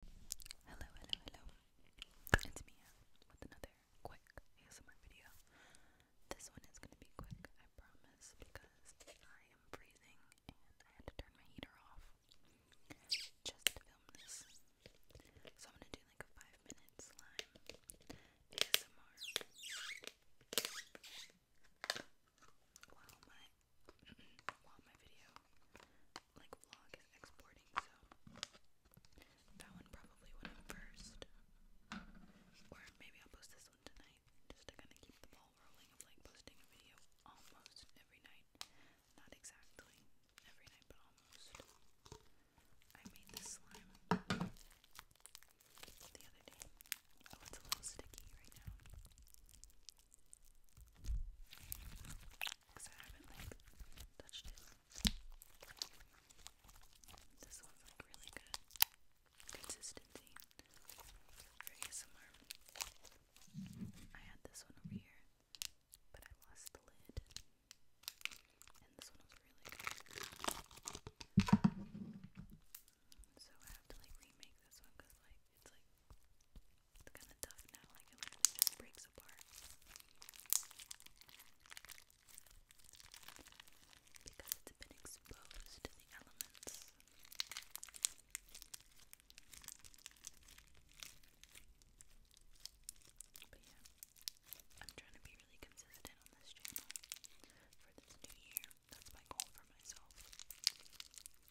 Hello, hello, hello. It's Mia with another quick ASMR video. This one is going to be quick, I promise, because I am freezing and I had to turn my heater off just to film this. So I'm going to do like a five minute slime ASMR while my, while my video like vlog is exporting, so that one probably went up first. Or maybe I'll post this one tonight just to kind of keep the ball rolling of like posting a video almost every night. Not exactly every night, but almost. I made this slime the other day. Oh, it's a little sticky right now because I haven't like touched it. This one's like really good consistency for ASMR. I had this one over here, but I lost the lid, and this one was really good. So I have to like remake this one because like it's like it's kind of tough now, like it just breaks apart. Because it's been exposed to the elements. But yeah, I'm trying to be really consistent on this channel for this new year. That's my goal for myself.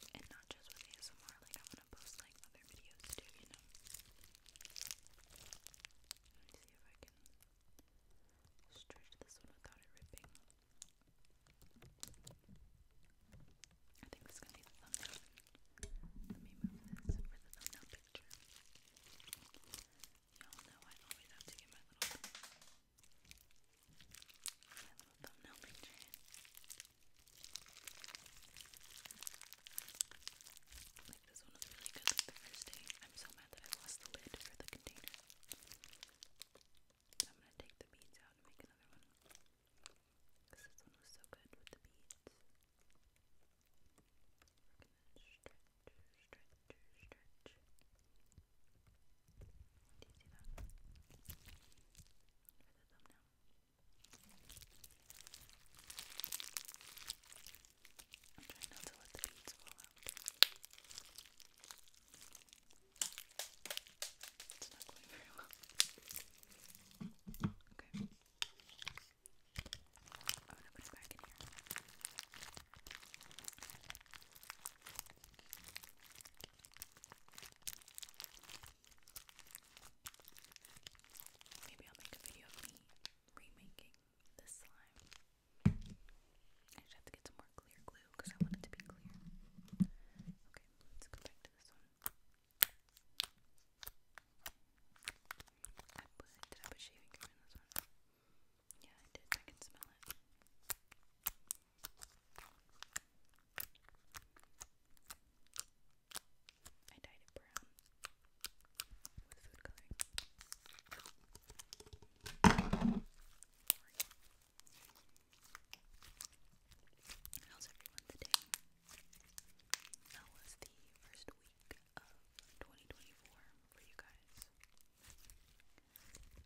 And not just with ASMR, post like other videos too, you know. Let me see if I can stretch this one without it ripping. I think this is gonna be the thumbnail. Let me move this for the thumbnail picture. Y'all know I always have to get my little my little thumbnail picture like this one was really good the first day. I'm so mad that I lost the lid for the container. I'm gonna take the beads out and make another one. Cause this one was so good with the beads. We're stretch, stretch, stretch. Do you see that? For the thumbnail. I'm trying not to let the beads fall out. It's not going very well. Okay. I'm gonna put it back in here. Maybe I'll make a video of me remaking this slime. I just have to get some more clear glue because I want it to be clear. Okay, let's go back to this one. did I put shaving cream in this one? Yeah, I did. I can smell it. I dyed it brown with food coloring. How's everyone today? How was the first week of 2024 for you guys?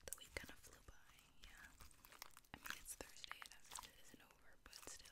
The week kind of flew by, yeah. I mean, it's Thursday, it isn't over, but still.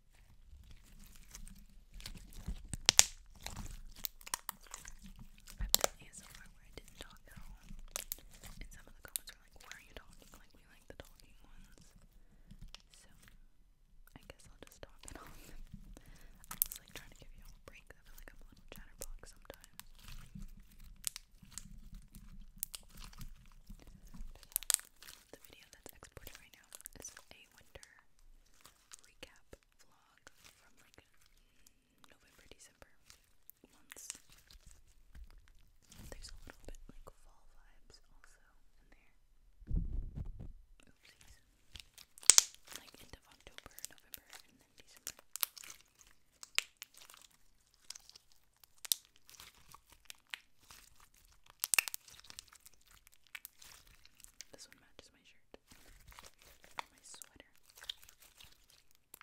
I've done ASMR where I didn't talk at all. And some of the comments were like, why are you talking? Like, we like the talking ones. So, I guess I'll just talk at all. I was like trying to give you a break. I feel like I'm a little chatterbox sometimes. the video that's exported right now is a winter recap vlog from like November, December months. There's a little bit like fall vibes also in there. Oopsies. Like end October, November, and then December. This one matches my shirt. my sweater. I'm just gonna stretch it as far as it can come.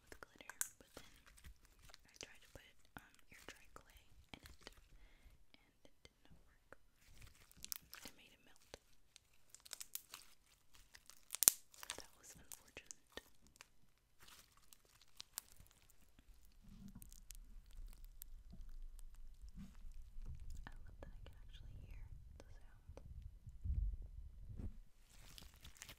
with glitter, but then I tried to put um dry clay in it, and it did not work. It made it melt. That was unfortunate. I love that I can actually hear the sound.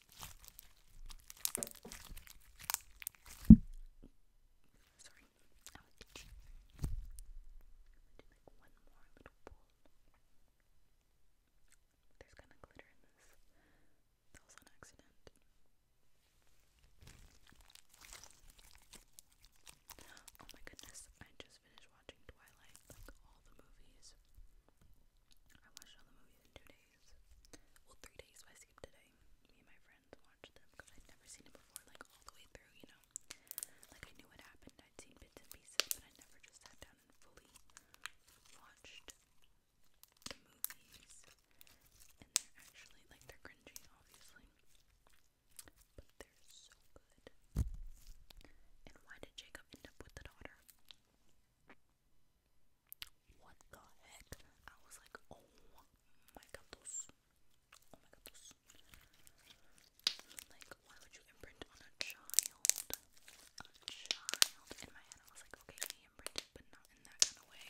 Sorry, I was itchy. I'm gonna do like one more little pull. There's kind of glitter in this. That was on accident. Oh my goodness, I just finished watching Twilight, like all the movies. I watched all the movies in two days. Well, three days, so I skipped today. Me and my friends watched them because I'd never seen it before, like all the way through, you know? Like I knew what happened, I'd seen bits and pieces, but I never just sat down and fully watched the movies. And they're actually, like, they're cringy, obviously. But they're so good. And why did Jacob end up with the daughter? what the heck? I was like, oh my gatos. Oh my gatos. Like, why would you imprint on a child? A child. In my head, I was like, okay, he imprinted, but not in that kind of way.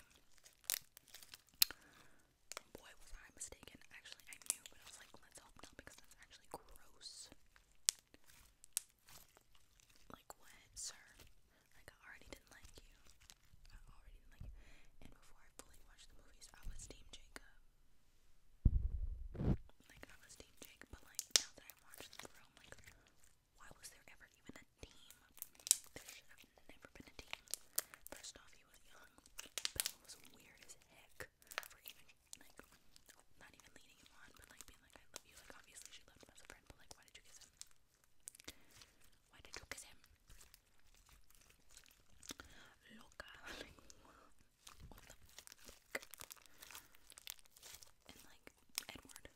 Boy, was I mistaken. Actually, I knew, but I was like, let's hope not because that's actually gross. Like, what, sir? Like I already didn't like you. I already didn't like you. And before I fully watched the movies, I was Team Jacob. Like I was Team Jacob, but like now that I watched the film, like why was there ever even a team? There should have never been a team. First off, he was young. Bella was weird as heck for even like not even leading him on, but like being like I love you. Like obviously she loved him as a friend, but like why did you kiss him? Why did you kiss him? Loca, like And like Edward,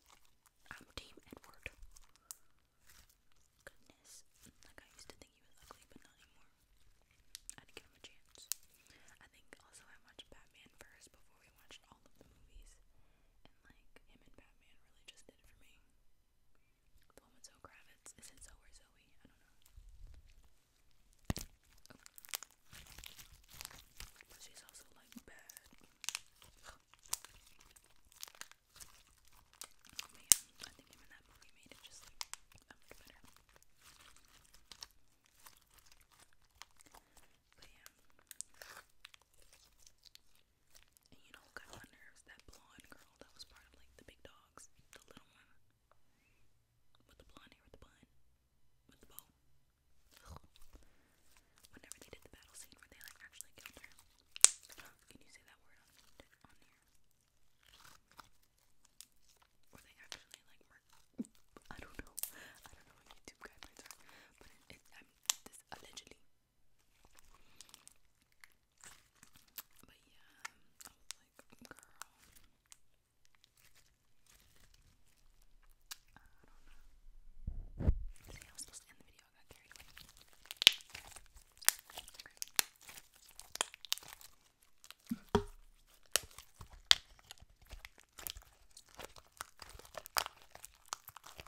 I'm Team Edward. Goodness, like I used to think he was ugly, but not anymore. I had give him a chance. I think also I watched Batman first before we watched all of the movies, and like him and Batman really just did it for me. The one with Zoe Kravitz. Is it Zoe or Zoe? I don't know. Oh. But she's also like bad. Man, I think him in that movie made it just like that much better. But yeah. And you know got my nerves? That blonde girl that was part of like the big dogs, the little one with the blonde hair, with the bun, with the bow. Whenever they did the battle scene where they like actually killed her, can you say that word on here? Where they actually like I don't know. I don't know what YouTube guidelines are, but it, um, allegedly. But yeah, I was like, girl, I don't know. See, I was supposed to end the video, I got carried away. Okay.